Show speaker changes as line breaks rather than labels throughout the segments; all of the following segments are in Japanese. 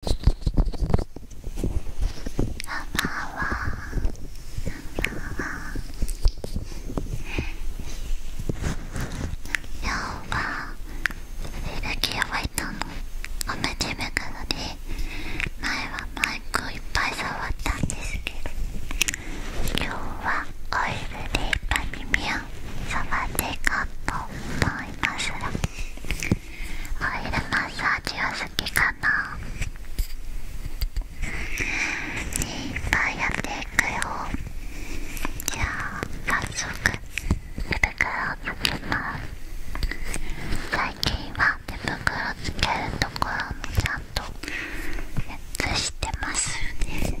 こんばんは。こんばんは。今日は手だけ覚えたの。お同じめからで、前はマイクいっぱい触ったんですけど、今日はオイルでいっぱい耳を触っていこうと思います。オイルマッサージは好きかないっぱいやっていくよじゃあ早速手袋をつけます最近は手袋つけるところもちゃんと写してますよね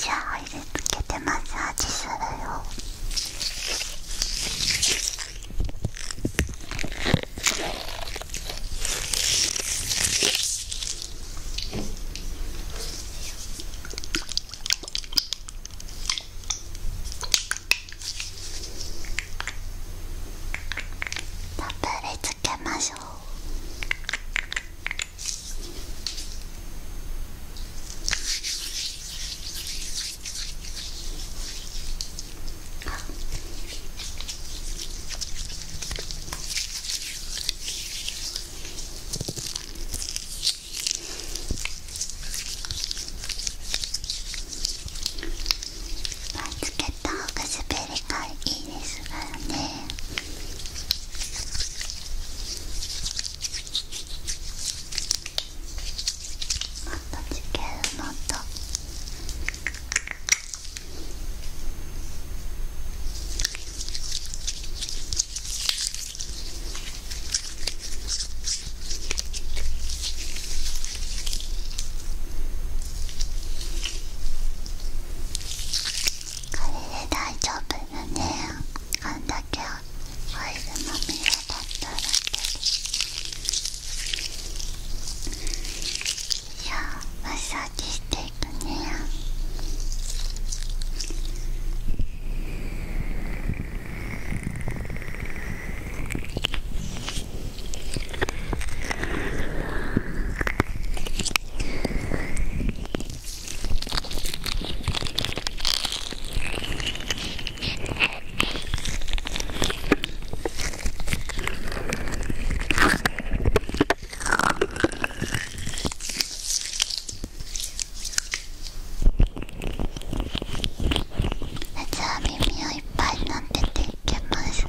じゃあオイルつけてマッサージするよたっぷりつけましょうまあ、つけた方が滑りがいいですからねもっとつけるもっとで大丈夫よねあんだけオイルまみれだったらいやマッサージしていくねよ耳をいっぱいになっていけますよ。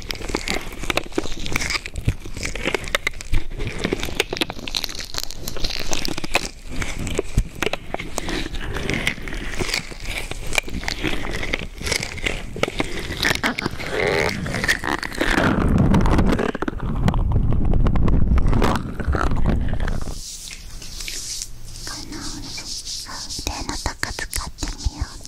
腕のとこ使ってみようね。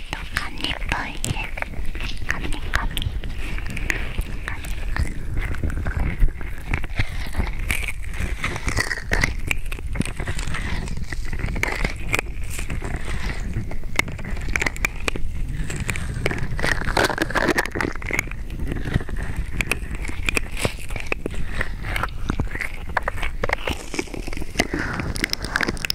ちょっとカニっぽいねカニ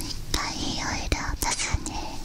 一回いろいろ足すねこ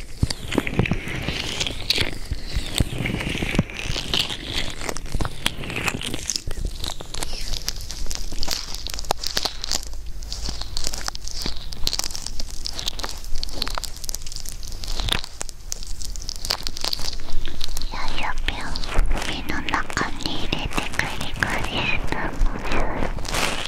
の中に入れてくり返すの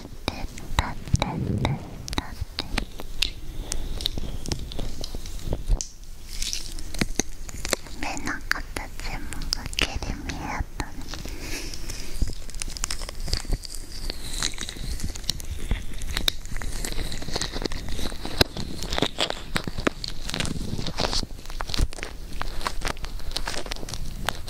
目の形もくっきり見えたね「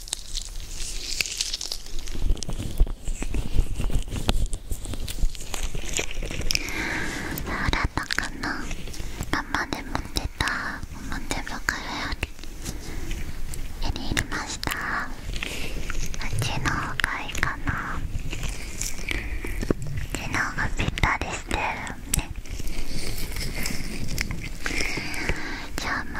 らたかな生で持ってたおもちゃ袋より気に入りましたうちの方がいいかなうちのがぴったりしてるねじ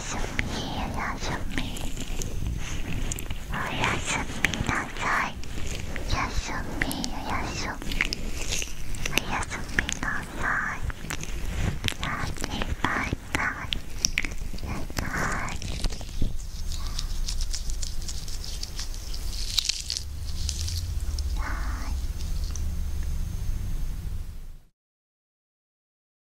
やすみおやすみおやすみなさいおやすみおやすみおやすみなさいやすみバイバイなさいはい